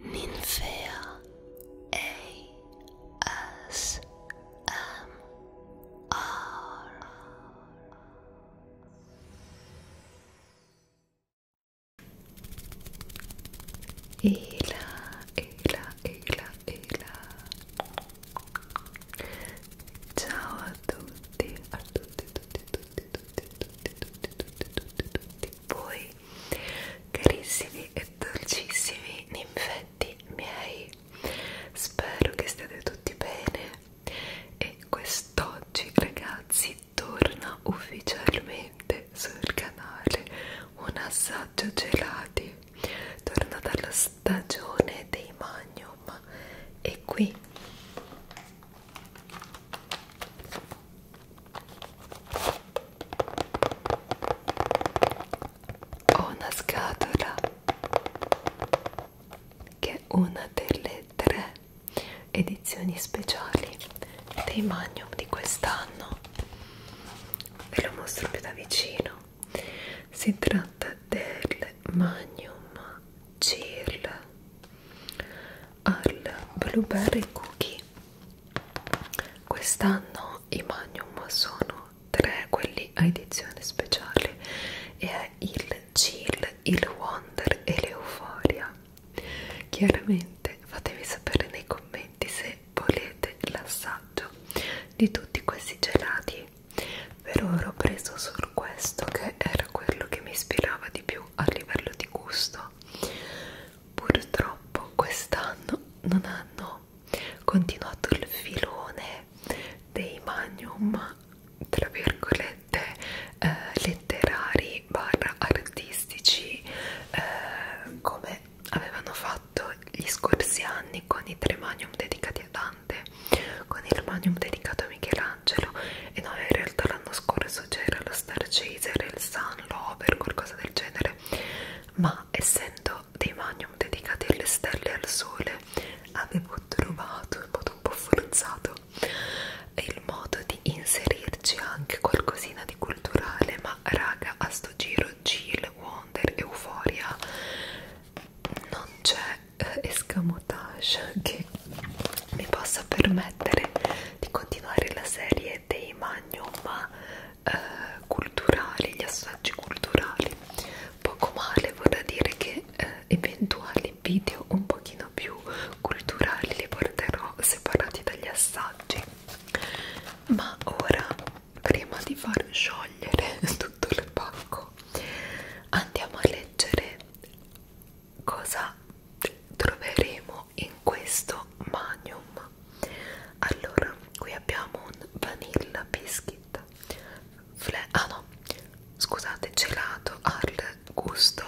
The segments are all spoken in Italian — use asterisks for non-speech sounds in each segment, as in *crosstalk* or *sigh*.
Ninfea ASMR Ela, Ela, Ela, Ela Ciao a tutti, a tutti, tutti, tutti, tutti, tutti, tutti, tutti, tutti, tutti voi carissimi e dolcissimi ninfetti miei spero che stiate tutti bene e quest'oggi ragazzi torna ufficialmente sul canale un assaggio gelati torna dalla stagione dei magnum e qui ho una scatola che è una delle tre edizioni speciali dei Magnum di quest'anno. Ve lo mostro più da vicino. Si tratta del Magnum Chill al blueberry cookie quest'anno i magnum sono tre quelli a edizione speciale e è il chill, il wonder e l'euforia chiaramente fatemi sapere nei commenti se volete l'assaggio di tutti questi gelati per ora ho preso solo questo che era quello che mi ispirava di più più a livello di gusto purtroppo quest'anno non hanno continuato il filone dei magnum tra virgolette eh, letterari barra artistici eh, come avevano fatto gli scorsi anni con i tre magnum dedicati a Dante con il magnum dedicato a Michelangelo e no in realtà l'anno scorso c'era la Star Chaser, il Sun Lover, qualcosa del genere, ma essendo dei magnum dedicati alle stelle e al sole, avevo trovato in modo un po' forzato il modo di inserirci anche qualcosina di culturale, ma raga, a sto giro Jill, Wonder, Euforia non c'è eh, escamotage che che mi possa permettere di continuare la serie dei magno ma eh, culturali, gli assaggi culturali poco male vorrà dire che eh, eventuali video un pochino più culturali li porterò separati dagli assaggi ma ora prima di far sciogliere *laughs* tutto il pacco andiamo a leggere cosa troveremo in questo magnum allora qui abbiamo un vanilla biscuit Fle ah no scusate gelato al gusto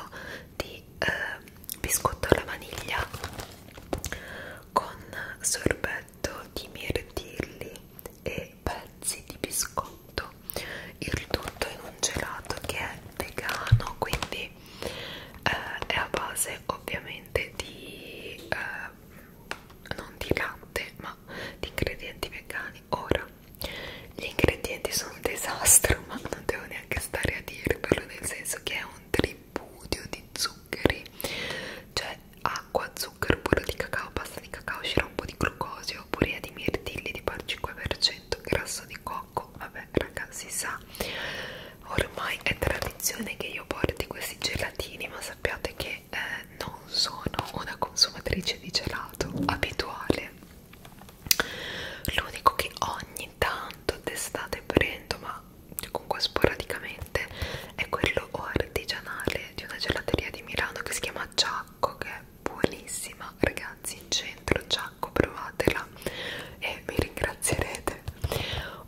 di eh, biscotto alla vaniglia con sorbetto di mirtilli e pezzi di biscotto il tutto in un gelato che è vegano quindi eh, è a base ovviamente di eh, non di latte ma di ingredienti vegani ora gli ingredienti sono un disastro ma non devo neanche stare a dirvelo nel senso che è un tripudio di zuccheri cioè acqua, zucchero, burro di cacao, pasta di cacao, sciroppo di glucosio, purea di mirtilli di par 5% 100% grasso di cocco vabbè raga si sa ormai è tradizione che io porti questi gelatini ma sappiate che eh, non sono una consumatrice di gelato abituale l'unico che ogni tanto d'estate prendo ma comunque sporadicamente è quello artigianale di una gelateria di Milano che si chiama Giacco che è buonissima ragazzi in centro Giacco provatela e mi ringrazierete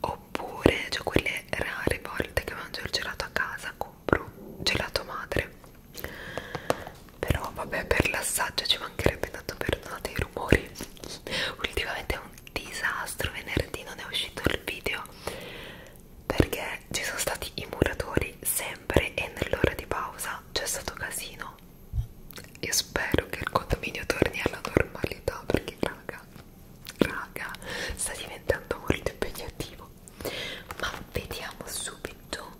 oppure cioè quelle rare volte che mangio il gelato a casa compro gelato madre però vabbè per l'assaggio ci mancherebbe tanto perdonate i rumori ultimamente è un disastro venerdì non è uscito il video perché ci sono stati i muratori sempre e nell'ora di pausa c'è stato casino e spero che il condominio torni alla normalità perché raga, raga sta diventando molto impegnativo ma vediamo subito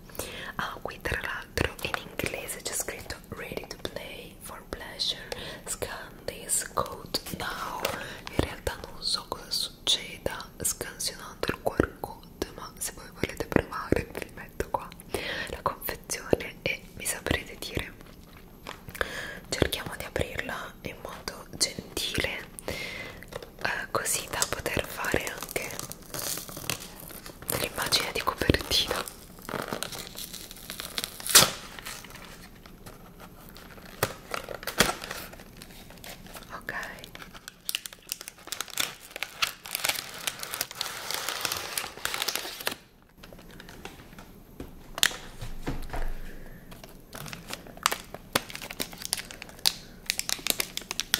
ah qui tra l'altro in inglese c'è scritto ready to play for pleasure scan this code now in realtà non so cosa succeda scansionando il QR code prodotto ma se voi volete provare vi metto qua la confezione e mi saprete dire cerchiamo di aprirla in modo gentile eh, così da poter fare anche dell'immagine di copertina ok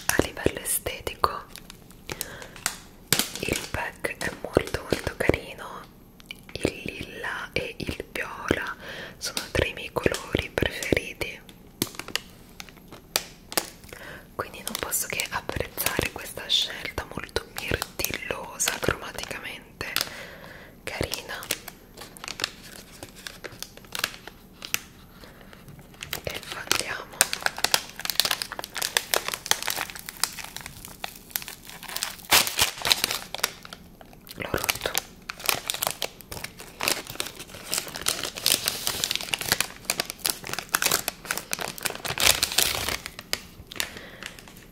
a livello estetico il pack è molto molto carino, il lilla e il viola sono tra i miei colori preferiti quindi non posso che apprezzare questa scelta molto mirtillosa cromaticamente carina e andiamo l'ho rotto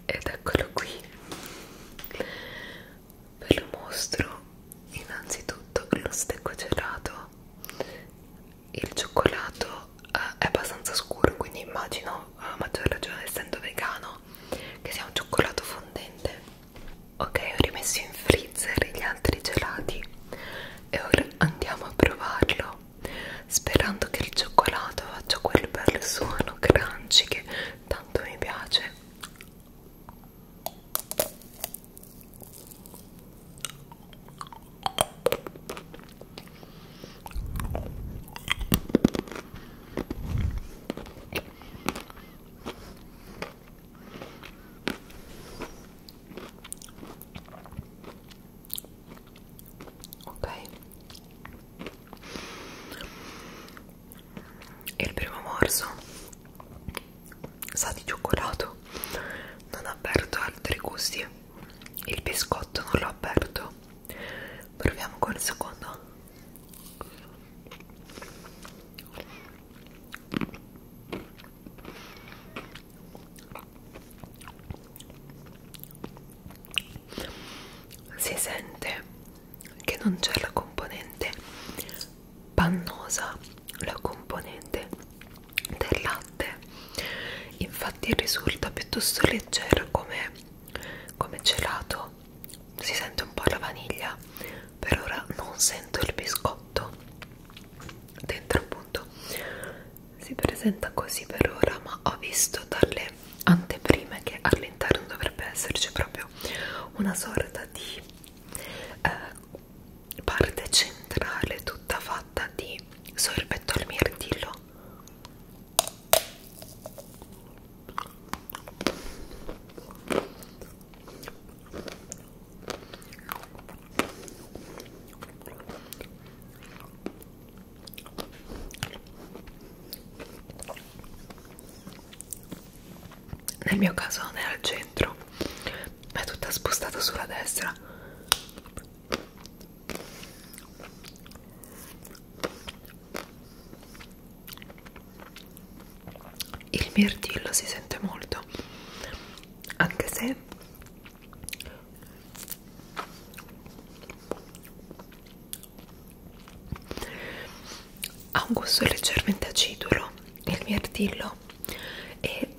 ed eccolo qui ve lo mostro innanzitutto lo stecco gelato il cioccolato eh, è abbastanza scuro quindi immagino a maggior ragione essendo vegano che sia un cioccolato fondente ok ho rimesso in freezer gli altri gelati e ora andiamo a provarlo sperando che il cioccolato faccia quel bel suono crunchy che tanto mi piace ok e il primo morso sa di cioccolato non ho aperto altri gusti il biscotto non l'ho aperto proviamo con il secondo si sente che non c'è la componente pannosa, la componente del latte, infatti risulta piuttosto leggera come, come gelato, si sente un po' la vaniglia per ora non sento il biscotto dentro appunto si presenta così per ora ma ho visto dalle anteprime che all'interno dovrebbe esserci proprio una sorta di eh, parte centrale tutta fatta di sorbetto al mirtillo nel mio caso non è al centro, ma è tutta spostata sulla destra il mirtillo si sente molto anche se ha un gusto leggermente acidulo il mirtillo e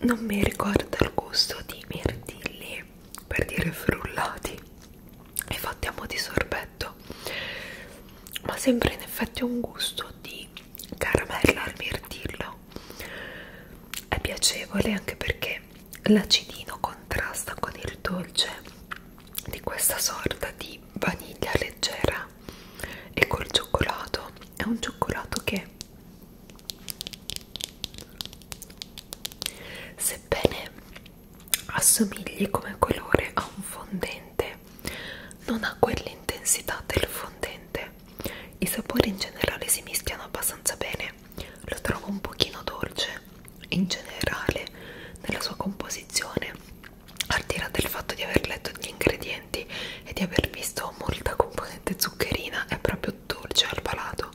non mi ricorda il gusto di mirtilli per dire frullati e fatti a mo' di sorbetto perfetto ma sembra in effetti un gusto di caramella al mirtillo è piacevole anche perché l'acidino contrasta con il dolce di questa sorta di vaniglia leggera e col cioccolato è un cioccolato che sebbene assomigli come colore a un fondente non ha quell'intensità del fondente i sapori in generale si mischiano abbastanza bene lo trovo un pochino dolce in generale nella sua composizione al di là del fatto di aver letto gli ingredienti e di aver visto molta componente zuccherina è proprio dolce al palato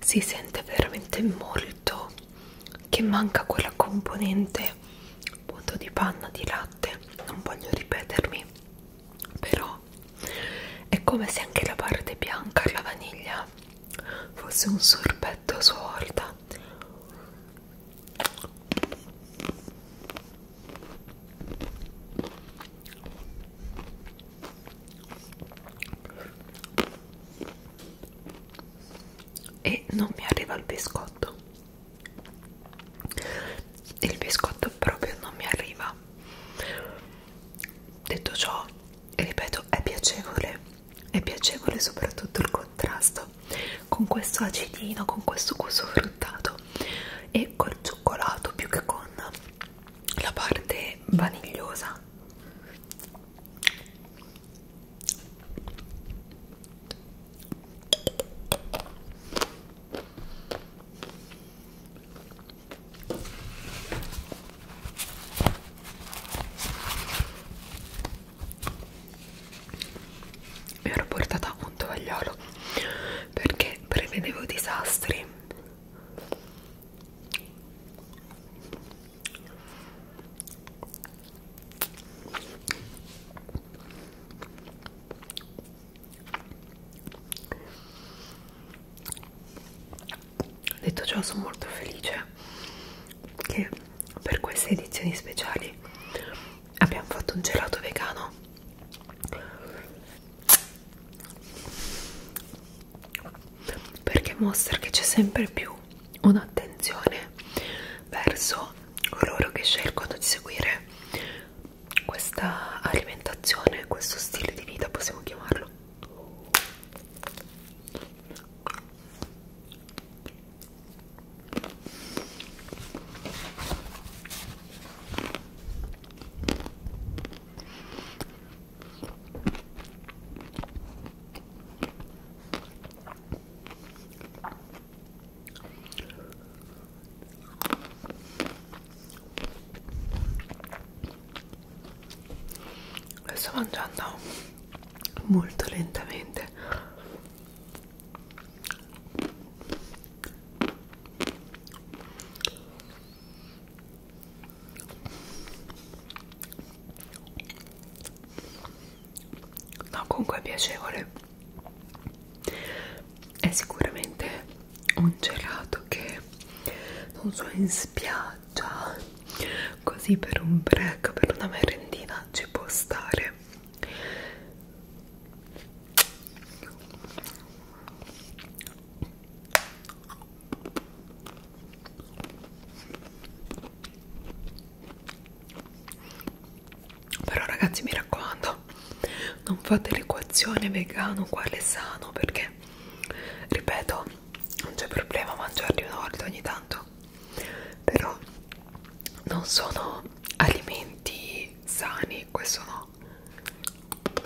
si sente veramente molto che manca quella componente appunto di panna di latte non voglio ripetermi però è come se anche la parte bianca alla vaniglia fosse un sorbetto a sua volta e non mi arriva il biscotto il biscotto proprio non mi arriva detto ciò ripeto è piacevole è piacevole soprattutto il contrasto con questo acidino con questo gusto fruttato e col cioccolato più che con la parte vanigliosa mi ero portata un tovagliolo perché prevedevo disastri Detto ciò sono molto felice che per queste edizioni speciali abbiamo fatto un gelato vegano perché mostra che c'è sempre più un'attenzione verso coloro che scelgono di seguire questa alimentazione, questo stile di vita possiamo chiamarlo lo sto mangiando molto lentamente No, comunque è piacevole. È sicuramente un gelato che non so in spiaggia, così per un break, per una merendina ci può stare però ragazzi mi raccomando non fate l'equazione vegano quale sano perché ripeto non c'è problema mangiarli una volta ogni tanto però non sono alimenti sani questo no po'.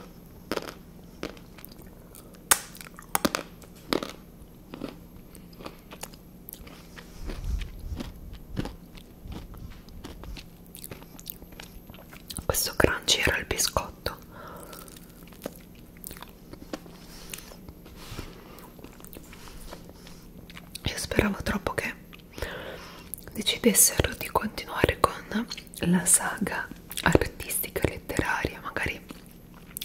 Questo crunchy era il biscotto. Io speravo troppo che decidessero di continuare con la saga artistica letteraria magari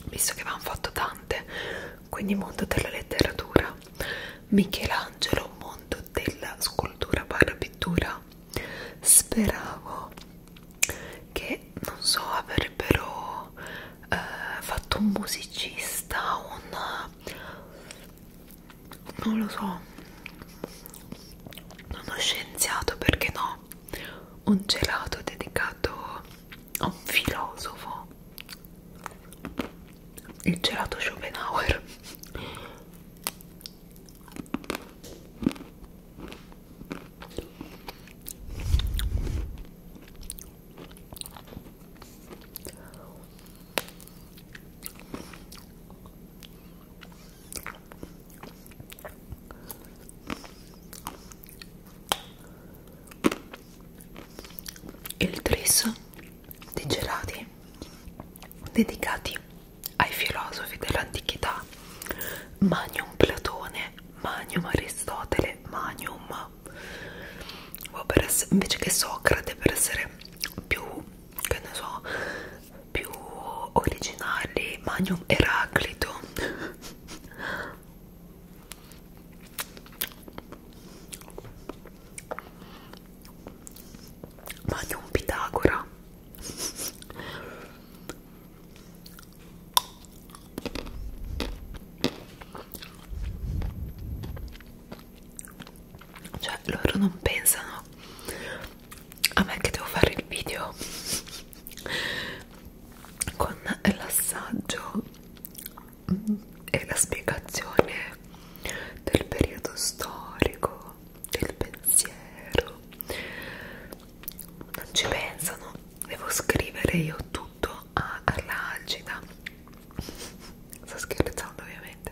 visto che avevano fatto tante quindi mondo della letteratura Michelangelo mondo della scultura barra pittura speravo che non so avrebbero eh, fatto un musicista un non lo so uno scienziato perché no un gelato dedicato a un filosofo il gelato Schopenhauer il tris di gelati dedicati ai filosofi dell'antichità Magnum Platone, Magnum Aristotele, Magnum o per essere, invece che Socrate per essere più che ne so più originali Magnum Eraclito *laughs* Magnum Pitagora cioè loro non pensano a me che devo fare il video con l'assaggio e la spiegazione del periodo storico del pensiero non ci pensano devo scrivere io tutto all'agita sto scherzando ovviamente veramente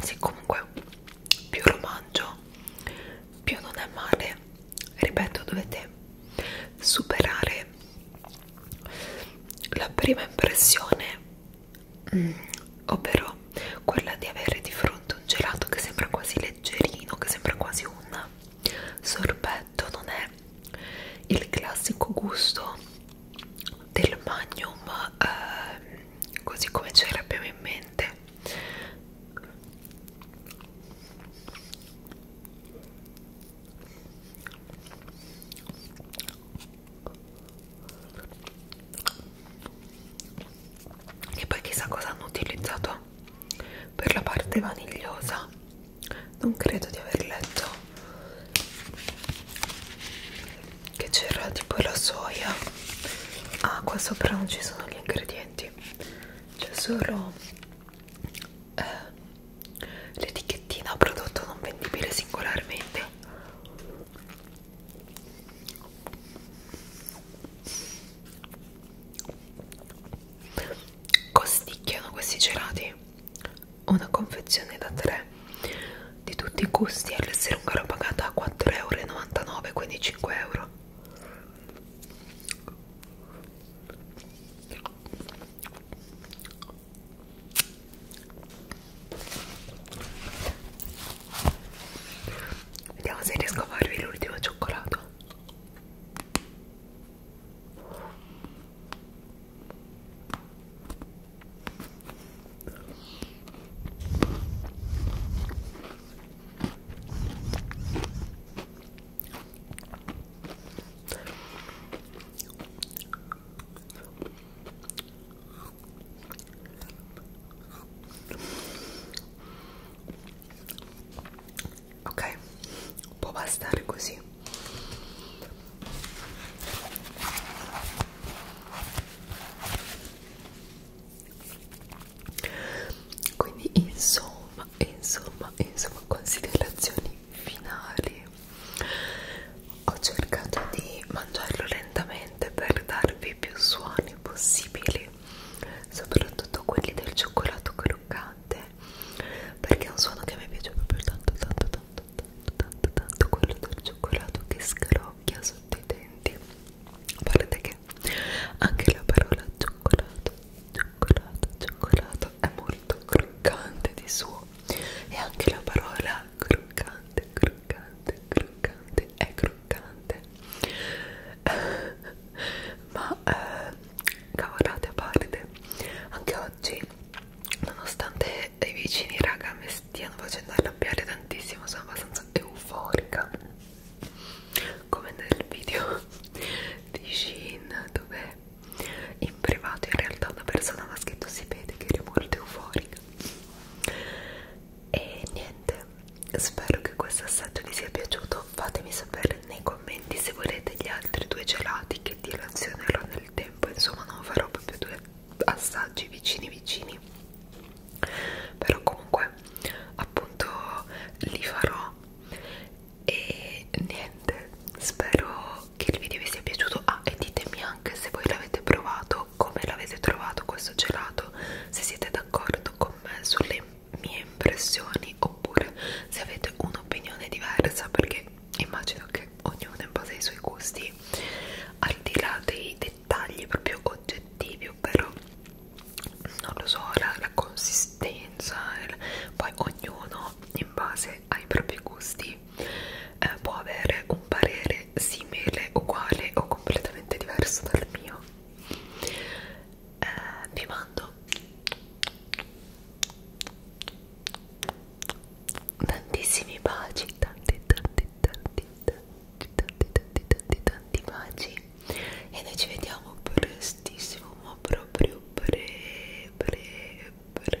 sì comunque più lo mangio più non è male ripeto dovete superare la prima impressione mm, ovvero quella di avere di fronte un gelato che sembra quasi leggerino, che sembra quasi un sorbetto, non è il classico gusto del magnum eh, così come ce l'abbiamo in mente e poi chissà cosa hanno utilizzato per la parte vanigliosa non credo di aver letto che c'era tipo la soia ah qua sopra non ci sono gli ingredienti c'è solo eh, l'etichettina prodotto non vendibile singolarmente costicchiano questi gelati una confezione da 3 di tutti i gusti all'essere un caro pagata a 4,99€ quindi 5 euro Vediamo se riesco a farvi l'ultimo cioccolato ok può bastare così quindi insomma insomma insomma considerazioni finali ho cercato di mangiarlo lentamente semplicemente per darvi più suoni possibili soprattutto quelli del cioccolato croccante perché è un suono che mi piace proprio tanto tanto tanto tanto tanto tanto quello del cioccolato che scrocchia sotto i denti a parte che anche la parola cioccolato cioccolato cioccolato è molto croccante di suo e anche la parola croccante croccante croccante è croccante croccante *laughs* ma eh, cavolate a parte anche oggi nonostante i vicini raga mi stiano facendo arrabbiare tantissimo sono abbastanza euforica come nel video di Shin dove in privato in realtà una persona mi ha scritto si vede che eri molto euforica e niente spero che questo assaggio vi sia piaciuto fatemi sapere nei commenti se volete gli altri due gelati che dilazionerò nel tempo insomma non farò proprio due assaggi vicini vicini però comunque appunto li farò e niente spero che il video vi sia piaciuto ah e ditemi anche se voi l'avete provato come l'avete trovato questo gelato se siete d'accordo con me sulle mie impressioni oppure se avete un'opinione diversa perché immagino che ognuno in base ai suoi gusti al di là dei dettagli proprio oggettivi ovvero non lo so la, la consistenza il, poi ognuno in base ai propri gusti eh, può avere un parere è simile, uguale o completamente diverso dal mio eh, vi mando tantissimi baci tanti tanti tanti tanti tanti tanti tanti tanti baci e noi ci vediamo prestissimo ma proprio pre pre pre